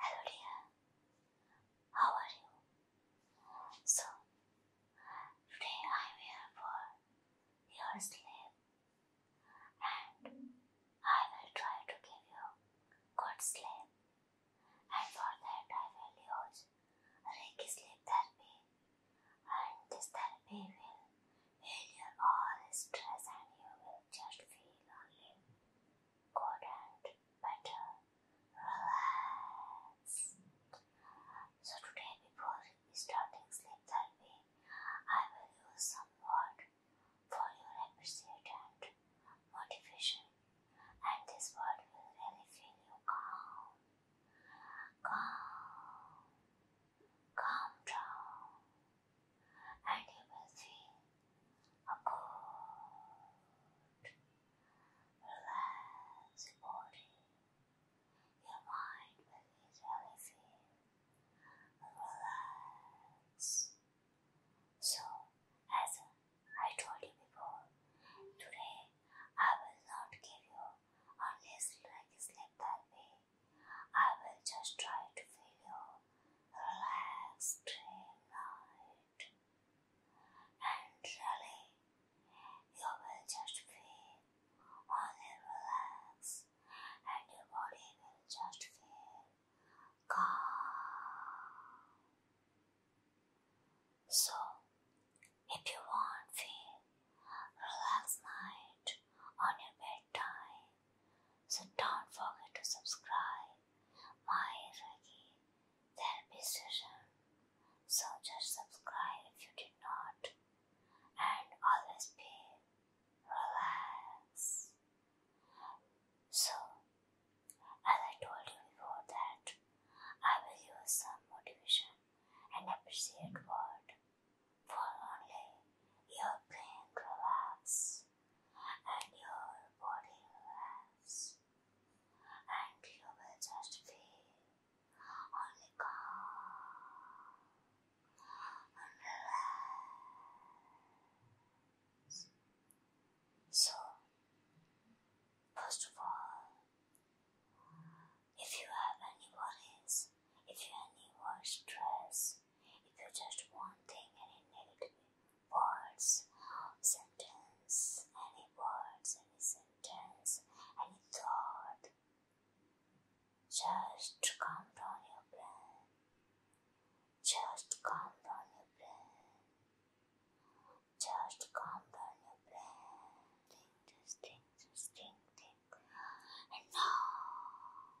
Hello dear, how are you? So, today I am here for your sleep and I will try to give you good sleep and for that I will use a Reiki sleep therapy and this therapy Failure all stress and you will just feel lonely. Good and better. Relax. So today before starting sleep therapy, I will use some word for your appreciate and motivation. And this word will really feel you calm. Calm. Calm down and you will see a good, relaxed body. Your mind will easily feel relaxed. So, as I told you before, today I will not give you only like sleep that way. I will just try to feel your relaxed dream night. And really, you will just feel only relax and your body will just feel calm. So, if you want feel relaxed night on your bedtime, so don't forget to subscribe my Reiki therapy session. So just subscribe if you did not. And always be relaxed. So as I told you before that I will use some motivation and appreciate word for only your brain relax and your body relax and you will just feel only calm and relax. So first of all if you have any worries, if you have any stress if you just one thing, any negative words, sentence, any words, any sentence, any thought, just calm down your brain. Just calm down your brain. Just calm down your brain. Think, think, think, think. And now,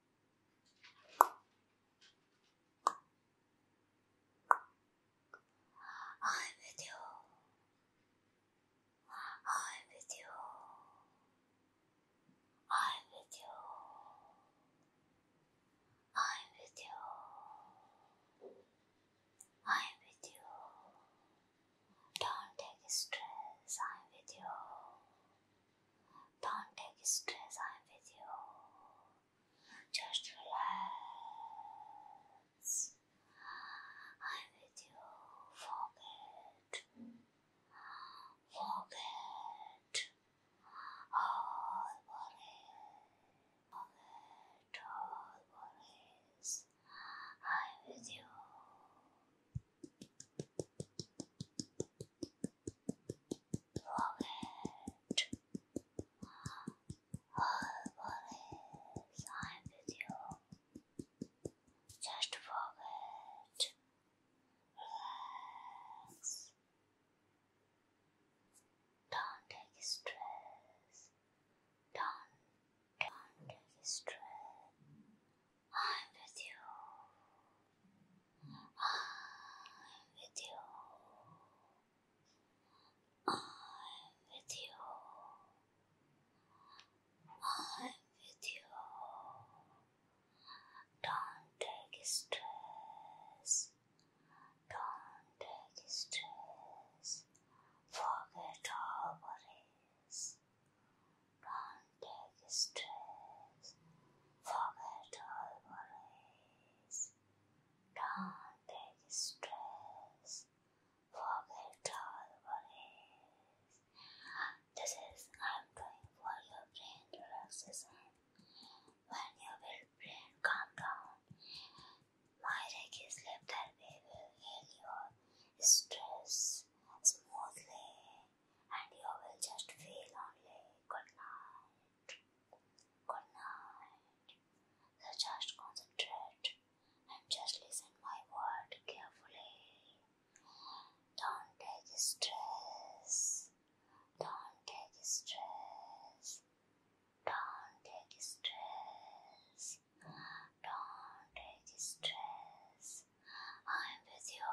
I'm with you. I'm with you. I'm with you. I'm with you. I'm with you. Don't take stress. I'm with you. Don't take stress. I'm with you. Just relax. I'm with you. Forget. Forget all worries. Forget all worries. I'm with you. Wallet. All wallets, I'm with you. Just forget. Relax. Don't take stress. Don't, don't take stress. I'm with you. I'm with you. I'm with you. I'm with you. Don't take stress. Don't take stress. Forget all worries. Don't take stress. Forget all worries. Don't take stress. Forget all worries. This is I'm for your brain relaxation. When you brain calm down, my Reiki sleep therapy will heal your stress smoothly and you will just feel only good night. Good night. So just concentrate and just listen my word carefully. Don't take stress. Don't take stress. Don't take stress. Don't take stress. I'm with you.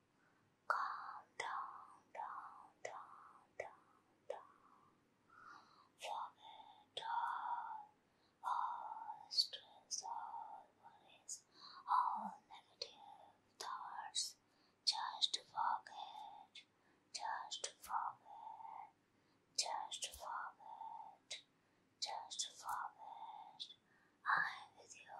Calm down, down, down, down, down. Forget all, all stress, all worries, all negative thoughts. Just forget, just forget, just forget, just forget. I'm with you.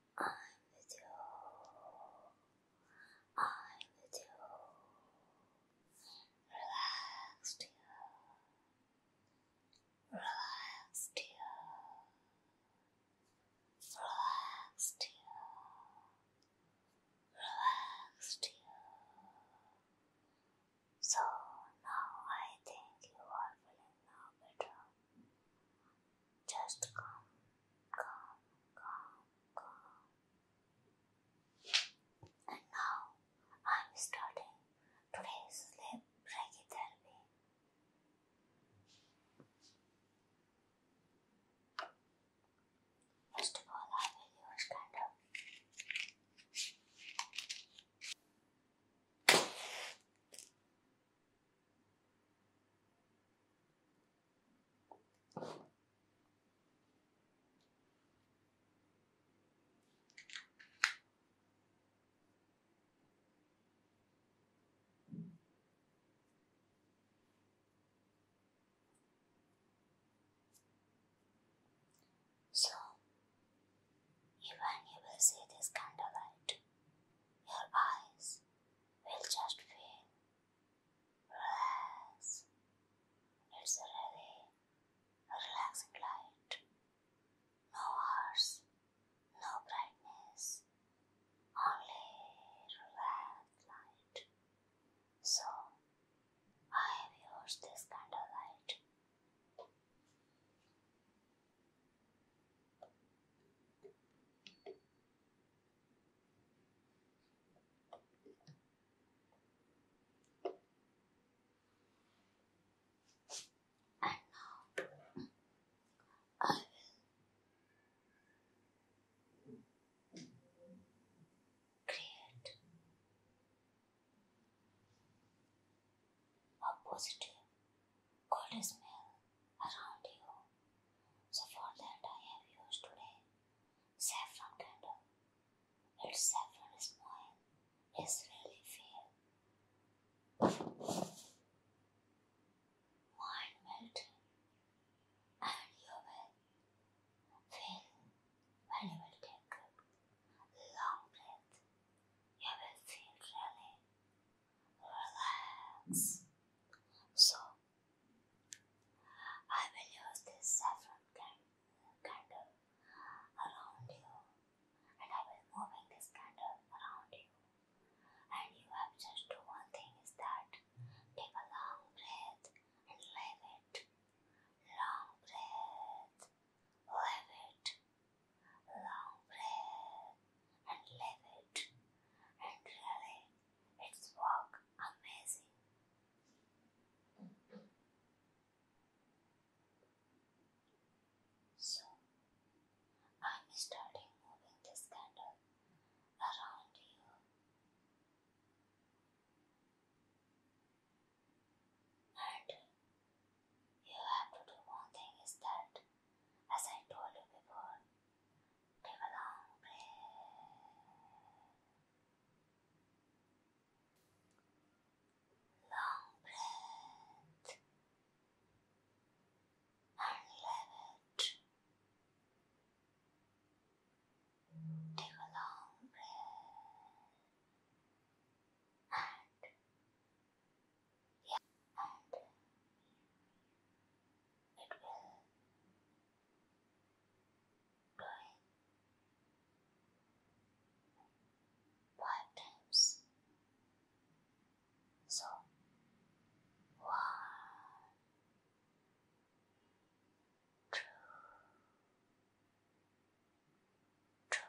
I'm with devil. I'm the devil. Relax, dear. Relax, dear. Relax, dear. Relax, dear. So now I think you are feeling now better. Just come, come, come, come. And now I'm starting today's sleep brachytherapy. First of all, I will use candle. So, you will see this candlelight, your eyes will just feel relax. It's a relaxing light. No harsh, no brightness, only relaxed light. So I have used this kind of light. And now I will create a positive good smell around you. So for that I have used today saffron candle. Its saffron smell is really fair. Mind melted and you will feel when you will take long breath. You will feel really relax. So, I will use this saffron candle around you, and I will moving this candle around you. And you have just to one thing is that take a long breath and leave it. Long breath, leave it. Long live and live it. And really, it's work amazing. So, I'm starting moving this candle around you. And you have to do one thing is that as I told you before, take a long breath. Long breath. And level it. Take a long breath. And yeah, and it will going five times. So one, two, two,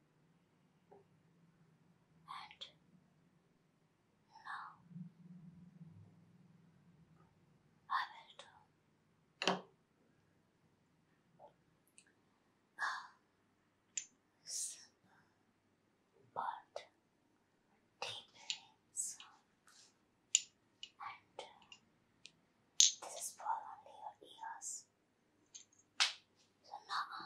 and now I will do a simple but deep song and this is for only your ears. Another.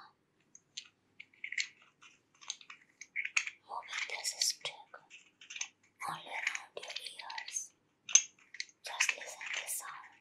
Moving this stick only around your ears. Just listen to the sound.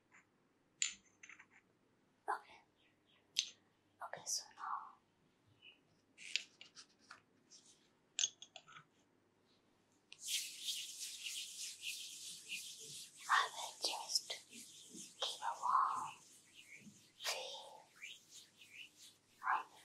Okay. Okay, so now I will just give a warm feel on the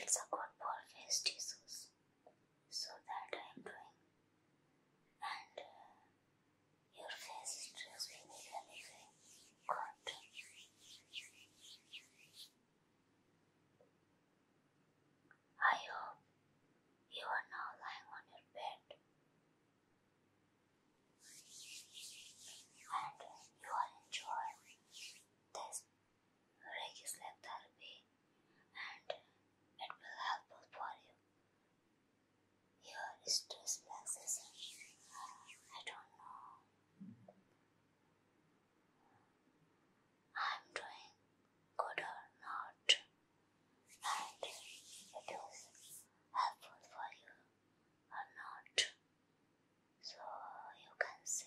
it's a good for face tissues, so that I am doing, and uh, your face is dressing really good. I hope you are now lying on your bed and you are enjoying this Reiki therapy and it will help for you your stress relaxation. I don't know. I'm doing good or not, and it is helpful for you or not. So you can see.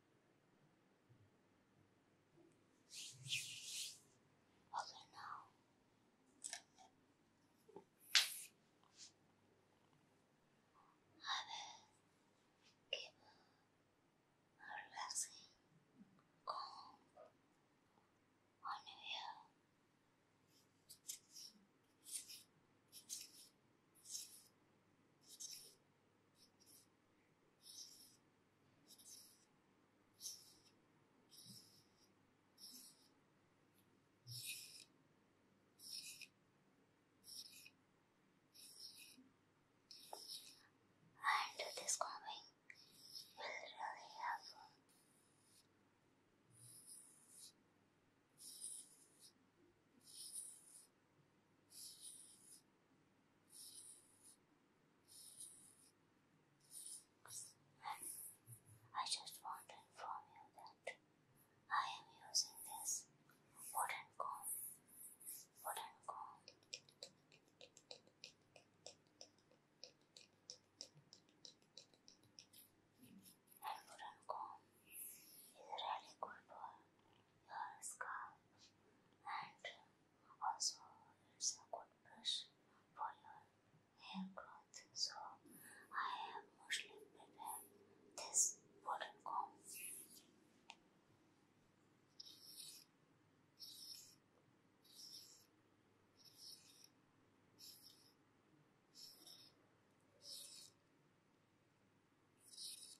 Okay, now. I will give a relaxing comb on your and this combing will really help. I just want to inform you that I am using this wooden comb. Wooden comb. And wooden comb is really good for your scalp and also it's a good brush for your hair growth. So I have mostly prepared this wooden comb.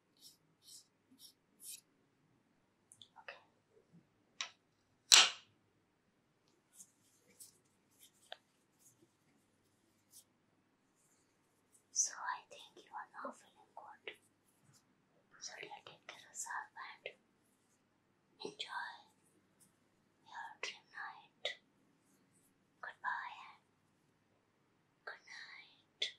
Okay. So I think you are now feeling good. So you take care of yourself and enjoy your dream night. Goodbye good night.